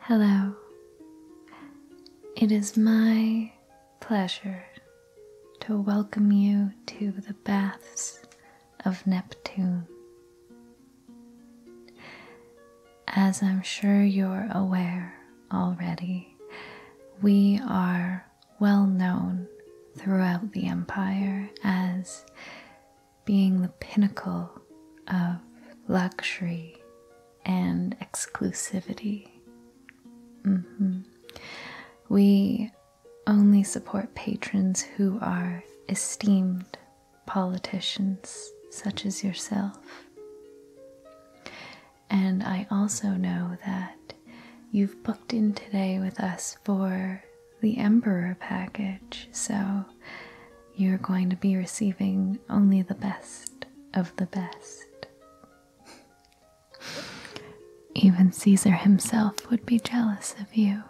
Hello. It is my pleasure to welcome you to the baths of Neptune. As I'm sure you're aware already, we are well known throughout the empire as being the pinnacle of luxury and exclusivity. Mm-hmm. We only support patrons who are esteemed politicians such as yourself. And I also know that you've booked in today with us for the Emperor package, so you're going to be receiving only the best of the best. Even Caesar himself would be jealous of you.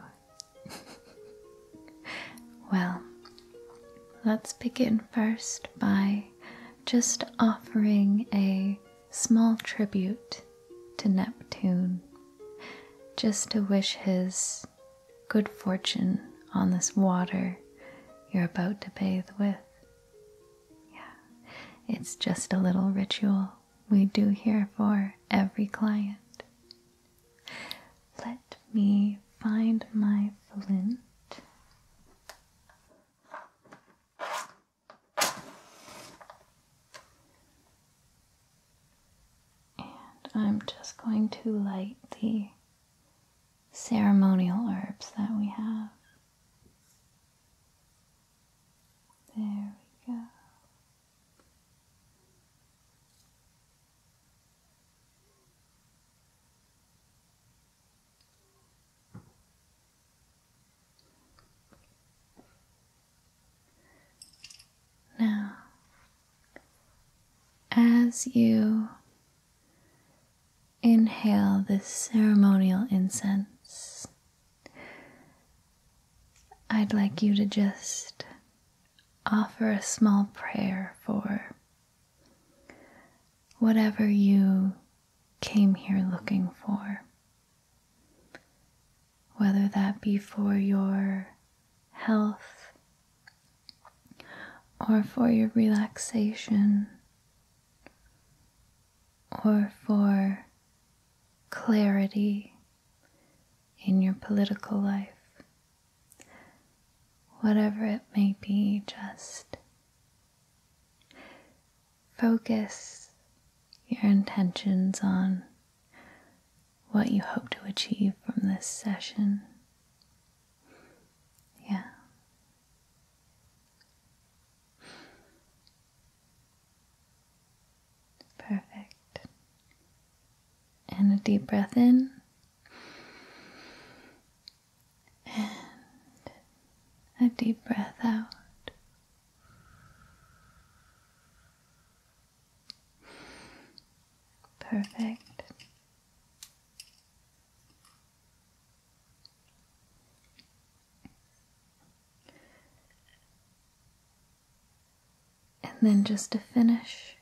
well, let's begin first by just offering a small tribute to Neptune, just to wish his good fortune on this water you're about to bathe with. Yeah, it's just a little ritual we do here for every client. Let me find my flint. And I'm just going to light the ceremonial herbs that we have. There we go. Now, as you inhale this ceremonial incense, I'd like you to just offer a small prayer for whatever you came here looking for. Whether that be for your health, or for your relaxation, or for clarity in your political life. Whatever it may be, just focus your intentions on what you hope to achieve from this session. Yeah. Perfect. And a deep breath in. And a deep breath out. Perfect. And then just to finish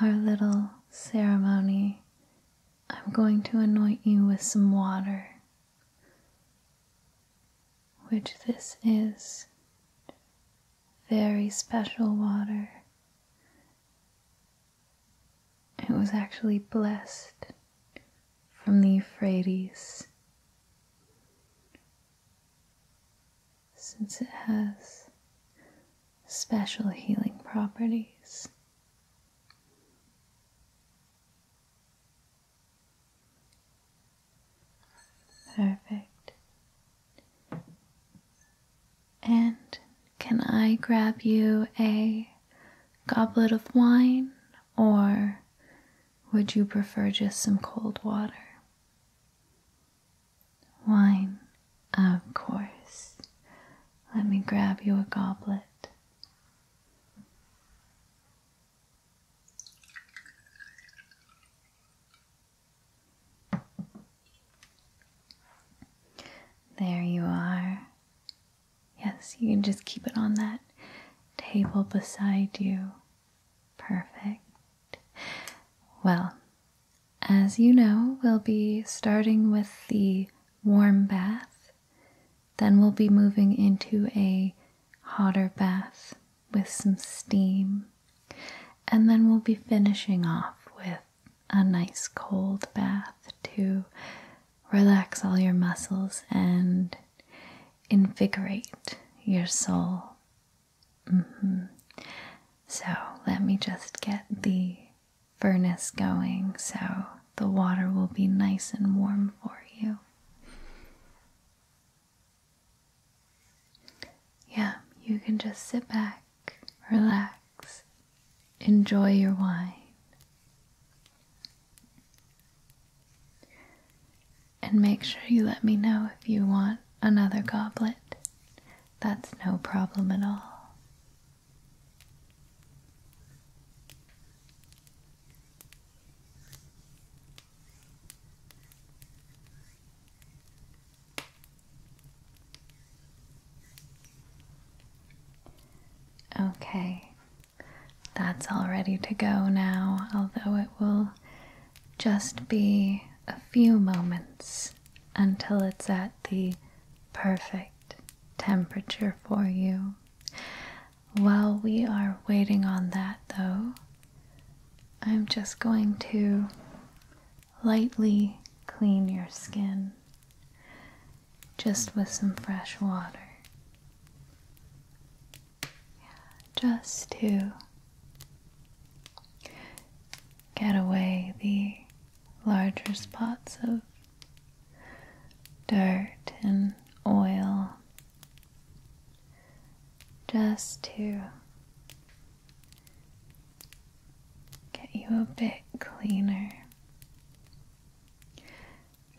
our little ceremony, I'm going to anoint you with some water, which this is very special water. It was actually blessed from the Euphrates. Since it has special healing properties. Perfect. And can I grab you a goblet of wine, or would you prefer just some cold water? Wine, of course. Let me grab you a goblet. There you are. Yes, you can just keep it on that table beside you. Perfect. Well, as you know, we'll be starting with the warm bath. Then we'll be moving into a hotter bath with some steam, and then we'll be finishing off with a nice cold bath to relax all your muscles and invigorate your soul. Mm-hmm. So, let me just get the furnace going so the water will be nice and warm for you. Yeah, you can just sit back, relax, enjoy your wine. And make sure you let me know if you want another goblet. That's no problem at all. Okay, that's all ready to go now, although it will just be a few moments until it's at the perfect temperature for you. While we are waiting on that, though, I'm just going to lightly clean your skin just with some fresh water. Just to get away the larger spots of dirt and oil just to get you a bit cleaner.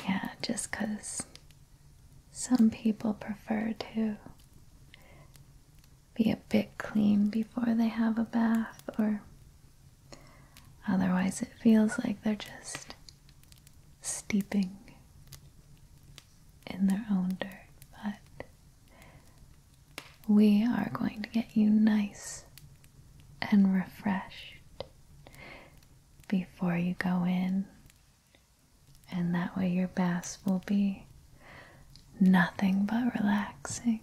Yeah, just because some people prefer to be a bit clean before they have a bath, or otherwise, it feels like they're just steeping in their own dirt. But we are going to get you nice and refreshed before you go in. And that way, your bath will be nothing but relaxing.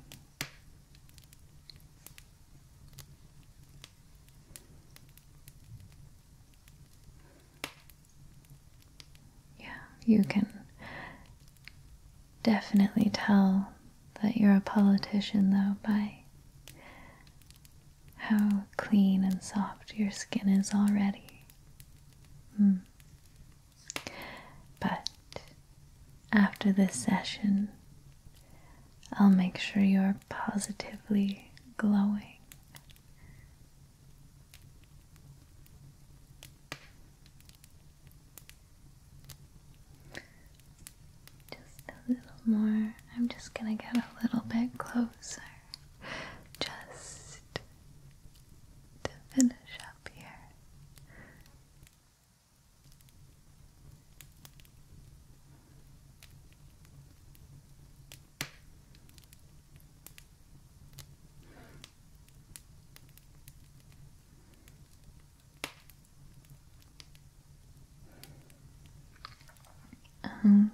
Yeah, you can definitely tell that you're a politician, though, by how clean and soft your skin is already. Hmm. But after this session, I'll make sure you're positively glowing. Just a little more. I'm just gonna get a little bit closer just to finish up here.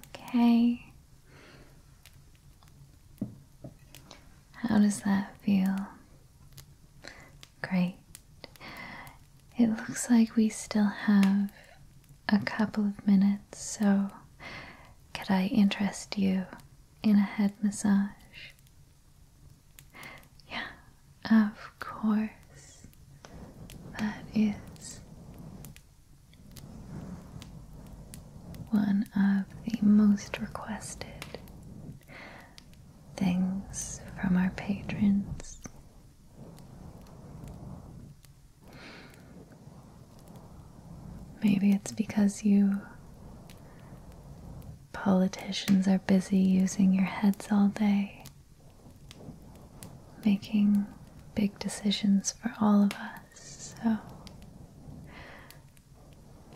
Okay. How does that feel? Great. It looks like we still have a couple of minutes, so could I interest you in a head massage? Yeah, of course. That is one of the most requested things from our patrons. Maybe it's because you Politicians are busy using your heads all day, making big decisions for all of us, so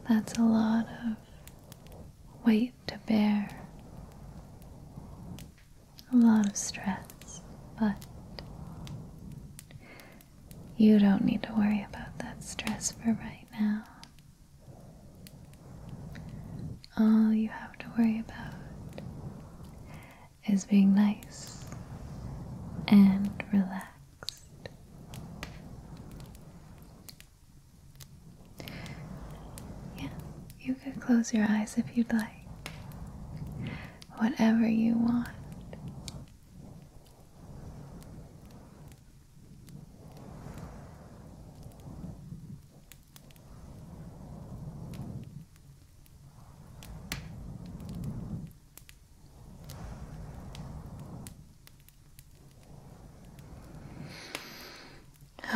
that's a lot of weight to bear, a lot of stress, but you don't need to worry about that stress for right now. All you have to worry about is being nice and relaxed. Yeah, you could close your eyes if you'd like. Whatever you want.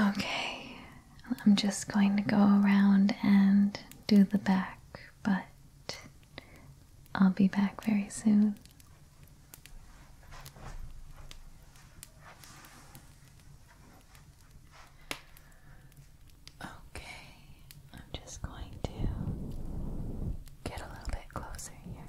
Okay, I'm just going to go around and do the back, but I'll be back very soon. Okay, I'm just going to get a little bit closer here.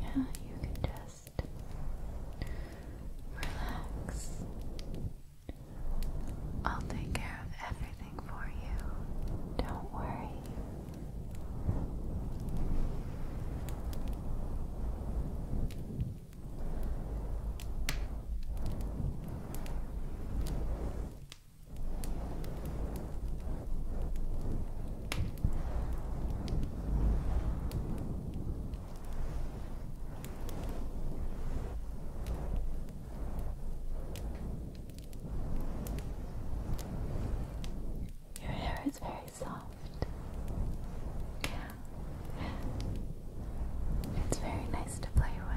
Yeah, you can just relax. I'll take care of everything for you. Don't worry. Your hair is very soft. Yeah. It's very nice to play with.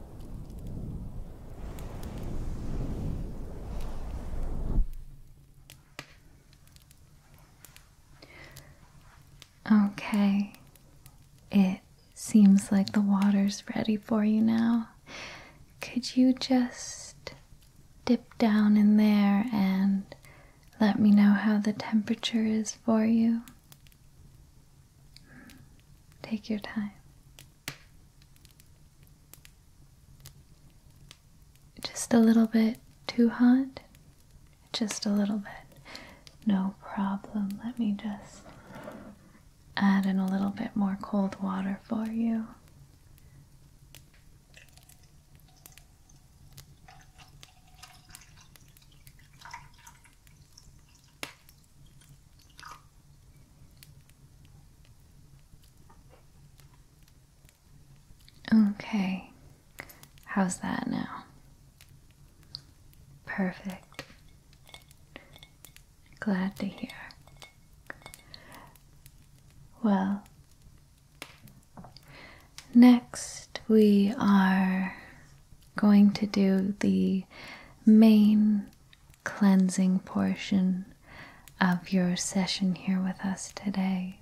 Okay. It seems like the water's ready for you now. Could you just dip down in there and let me know how the temperature is for you? Take your time. Just a little bit too hot? Just a little bit. No problem. Let me just add in a little bit more cold water for you. Okay, how's that now? Perfect. Glad to hear. Well, next we are going to do the main cleansing portion of your session here with us today.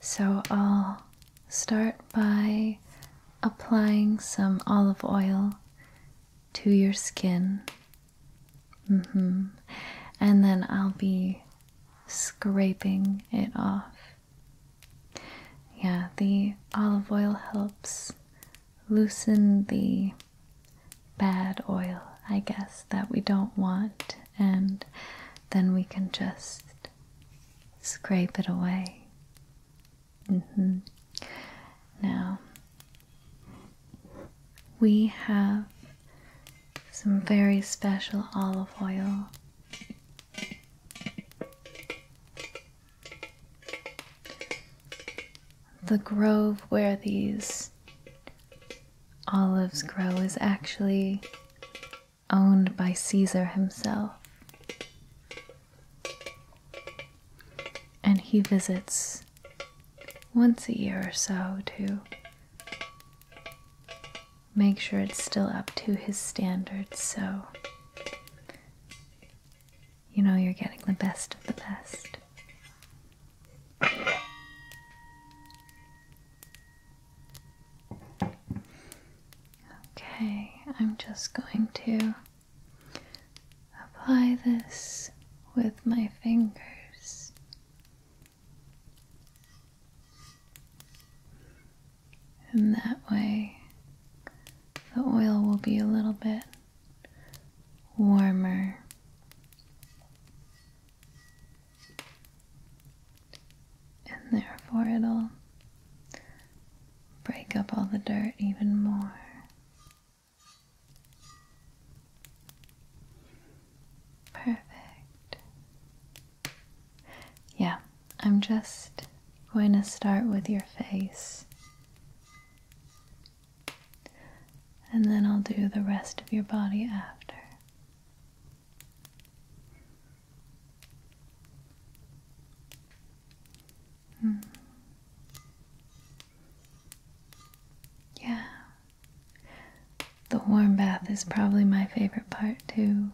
So I'll start by applying some olive oil to your skin. Mm-hmm. And then I'll be scraping it off. Yeah, the olive oil helps loosen the bad oil, I guess, that we don't want, and then we can just scrape it away. Mm-hmm. Now, we have some very special olive oil. The grove where these olives grow is actually owned by Caesar himself. And he visits once a year or so to make sure it's still up to his standards. So you know you're getting the best of the best. Okay, I'm just going to apply this with my fingers. And that way the oil will be a little bit warmer. And therefore, it'll break up all the dirt even more. Perfect. Yeah, I'm just going to start with your face and then I'll do the rest of your body after. Hmm. Yeah. The warm bath is probably my favorite part too.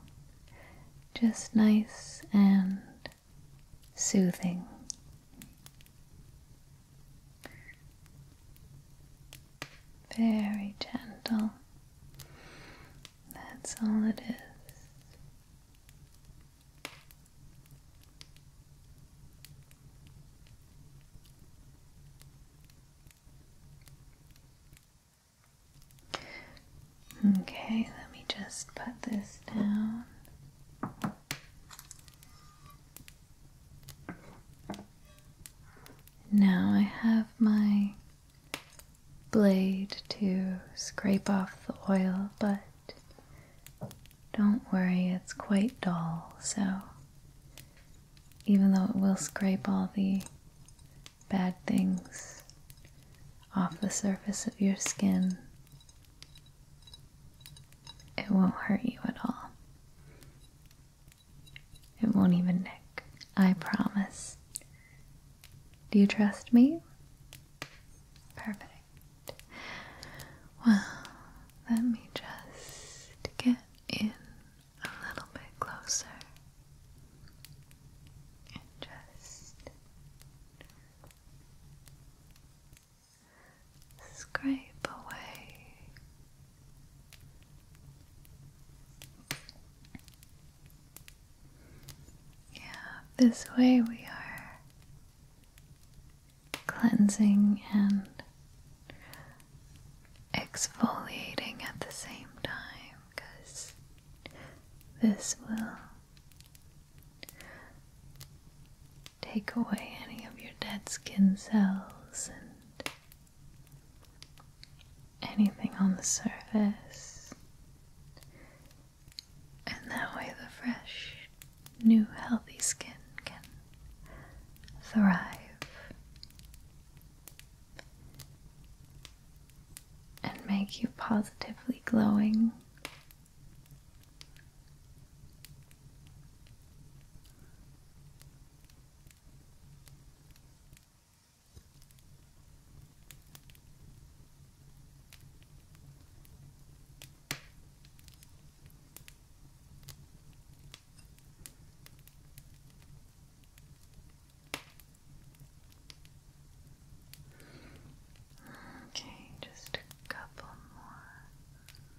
Just nice and soothing. Very gentle. That's all it is. Okay, let me just put this down. Now I have my blade to scrape off the oil, but don't worry, it's quite dull, so even though it will scrape all the bad things off the surface of your skin, it won't hurt you at all. It won't even nick. I promise. Do you trust me? Perfect. Well, let me just get in a little bit closer. And just scrape away. Yeah, this way we are cleansing and exfoliating at the same time because this will take away any of your dead skin cells and anything on the surface. And that way, the fresh, new, healthy skin can thrive. And make you positively glowing Okay, just a couple more.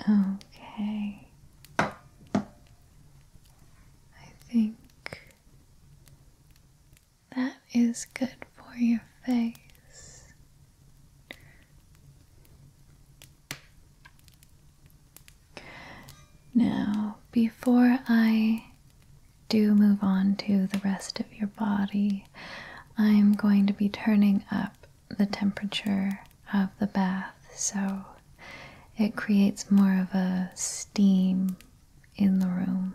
Okay. I think that is good for your face. Now, before I do move on to the rest of your body, I'm going to be turning up the temperature of the bath so it creates more of a steam in the room.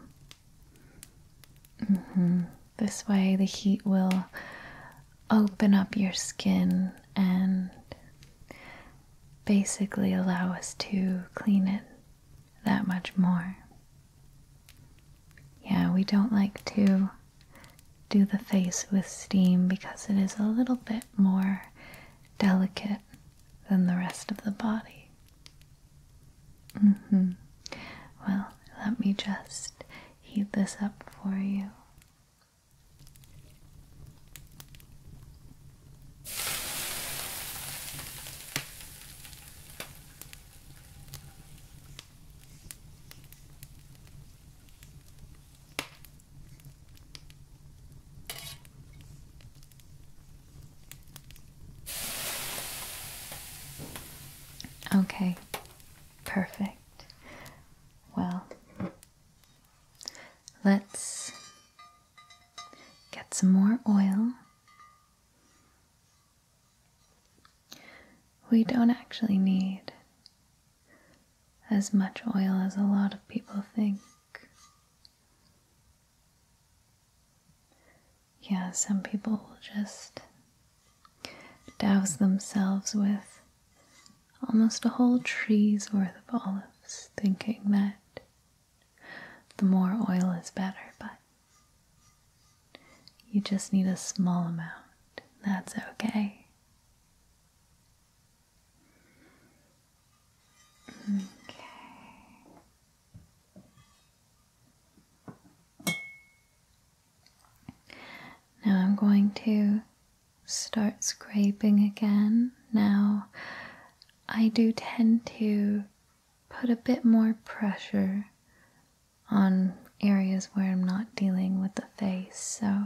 Mm-hmm. This way, the heat will open up your skin and basically allow us to clean it that much more. Yeah, we don't like to do the face with steam because it is a little bit more delicate than the rest of the body. Mm-hmm. Well, let me just heat this up for you. Okay, perfect. Well, let's get some more oil we don't actually need as much oil as a lot of people think. Yeah, some people just douse themselves with almost a whole tree's worth of olives, thinking that the more oil is better, but you just need a small amount. That's okay. Okay. Now I'm going to start scraping again. Now I do tend to put a bit more pressure on areas where I'm not dealing with the face. So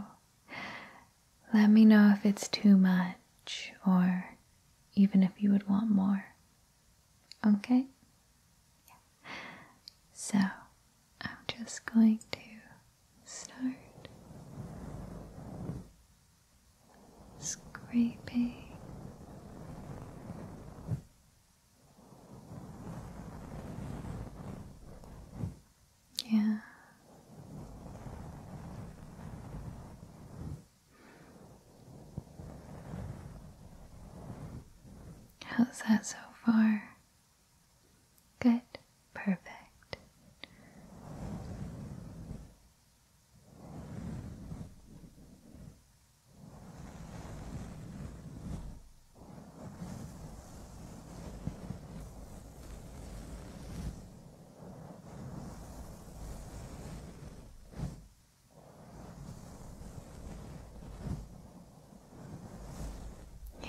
let me know if it's too much or even if you would want more. Okay? So I'm just going to start scraping yeah. How's that so far? Good. Perfect.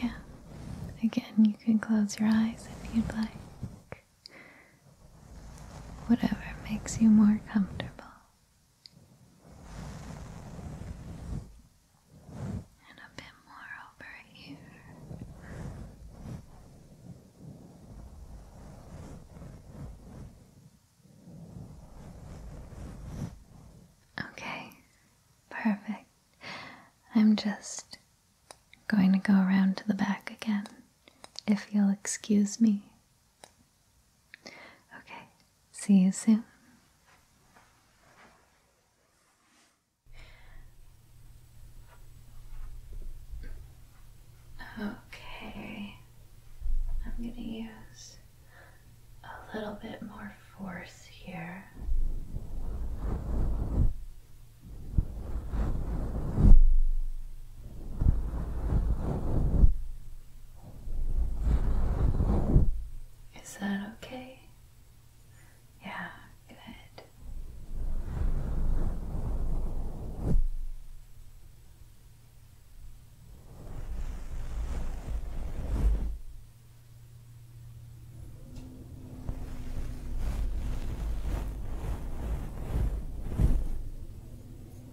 Yeah, again, you can close your eyes if you'd like. Whatever makes you more comfortable and a bit more over here. Okay, perfect. I'm just going to go around to the back again, if you'll excuse me. Okay, See you soon. Okay, I'm going to use a little bit more force here. Is that okay? Yeah, good.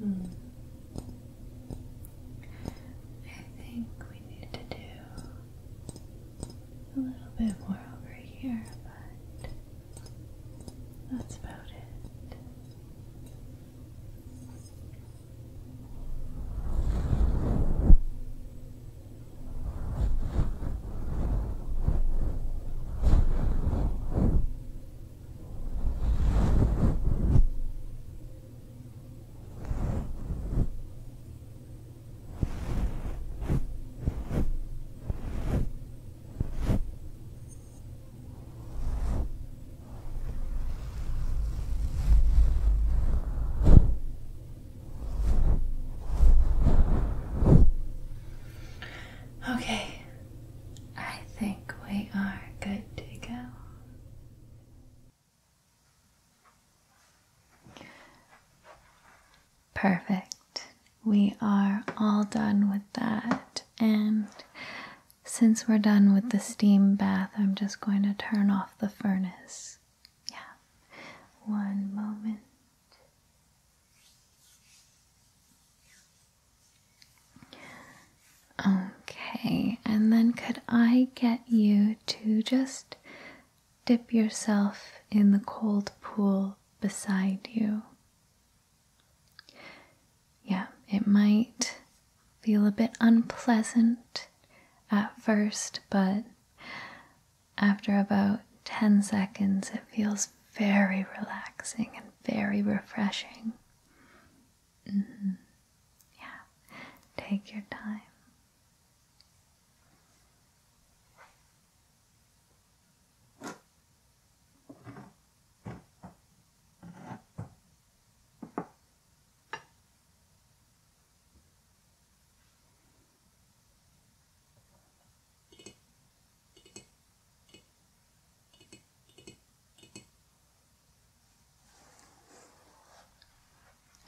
Hmm. I think we need to do a little bit more over here, but that's about it. Okay, I think we are good to go. Perfect. We are all done with that. And since we're done with the steam bath, I'm just going to turn off the furnace. Yeah. One moment. Okay, and then could I get you to just dip yourself in the cold pool beside you? Yeah, it might feel a bit unpleasant at first, but after about 10 seconds, it feels very relaxing and very refreshing. Mm-hmm. Yeah, take your time.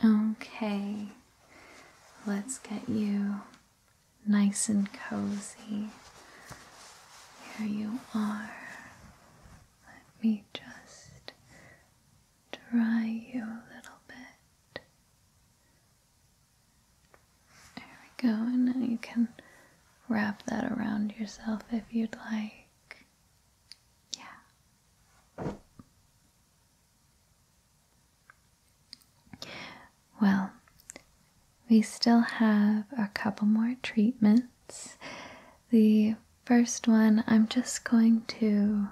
Okay, let's get you nice and cozy. Here you are. Let me just dry you a little bit. There we go, and now you can wrap that around yourself if you'd like. Yeah. Well, we still have a couple more treatments. The first one, I'm just going to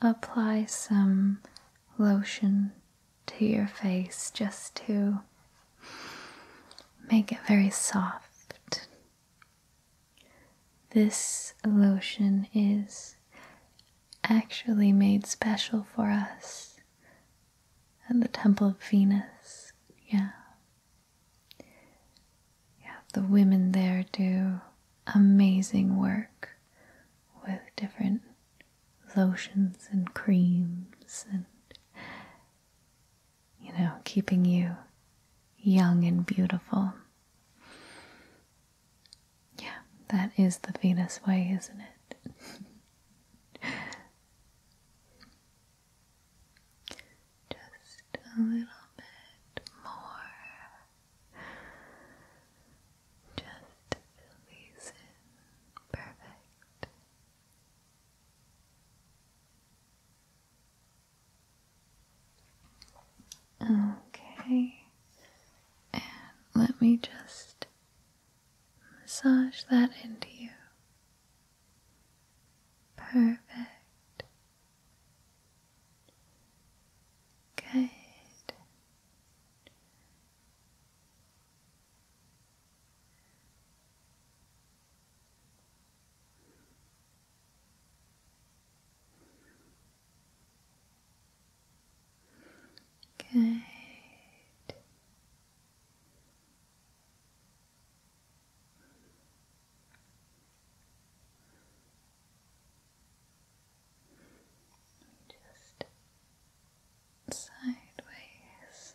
apply some lotion to your face just to make it very soft this lotion is actually made special for us at the Temple of Venus. Yeah. Yeah, the women there do amazing work with different lotions and creams and you know, keeping you young and beautiful. Yeah, that is the Venus way, isn't it? Just a little bit more. Just to fill Perfect. Okay, and let me just massage that into you. Perfect. Good. Okay. Just sideways.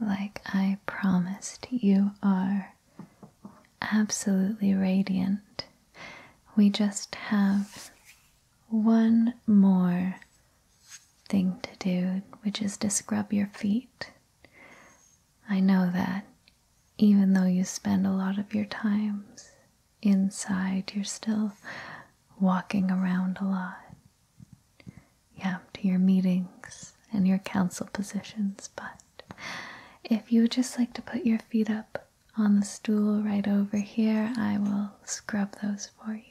Like I promised, you are absolutely radiant. We just have one more thing to do, which is to scrub your feet. I know that even though you spend a lot of your times inside, you're still walking around a lot yeah, to your meetings and your council positions, but if you would just like to put your feet up on the stool right over here, I will scrub those for you.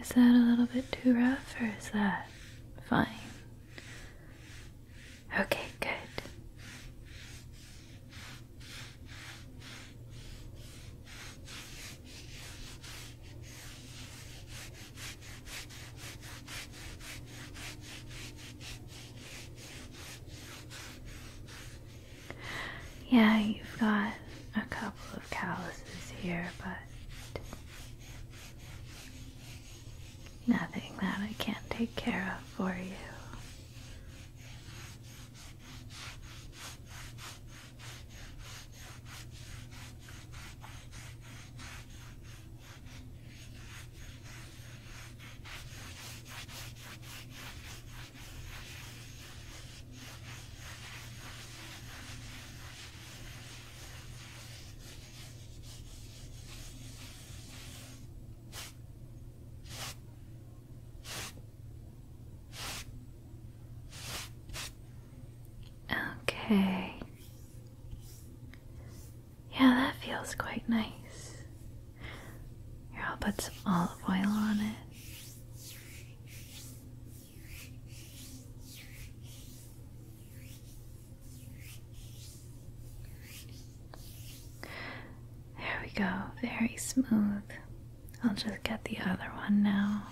Is that a little bit too rough or is that fine? Okay, good. Yeah, you've got a couple of calluses here, but Nothing that I can't take care of for you. Okay. Yeah, that feels quite nice. Here, I'll put some olive oil on it. There we go, very smooth. I'll just get the other one now.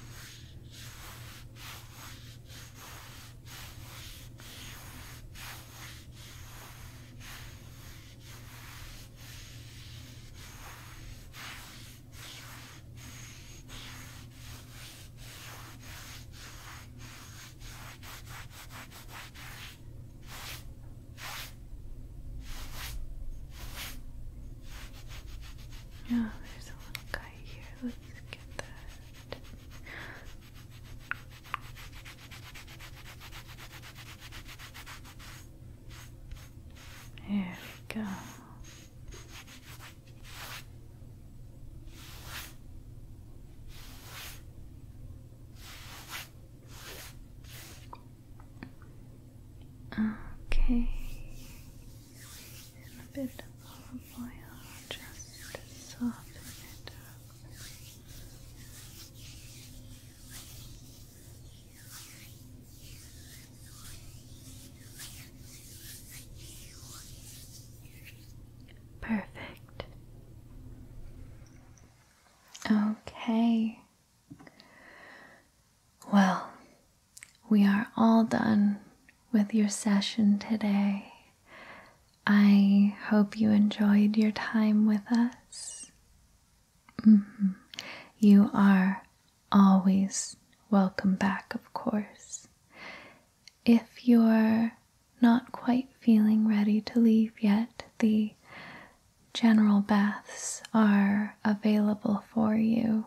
Yeah, there's a little guy here. Let's get that. There we go. Okay, and a bit of oil just to soften it Perfect. Okay. Well, we are all done with your session today. I hope you enjoyed your time with us. Mm-hmm. You are always welcome back, of course if you're not quite feeling ready to leave yet, the general baths are available for you.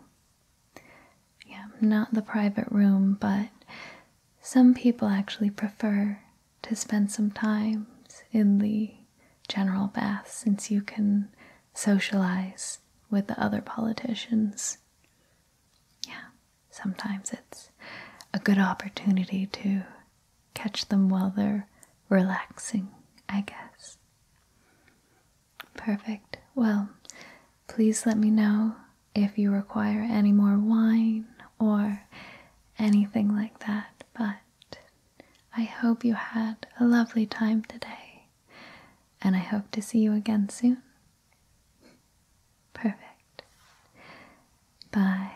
Yeah, not the private room, but some people actually prefer to spend some time in the general baths since you can socialize with the other politicians. Yeah, sometimes it's a good opportunity to catch them while they're relaxing, I guess. Perfect. Well, please let me know if you require any more wine or anything like that, but I hope you had a lovely time today, and I hope to see you again soon. Perfect. Bye.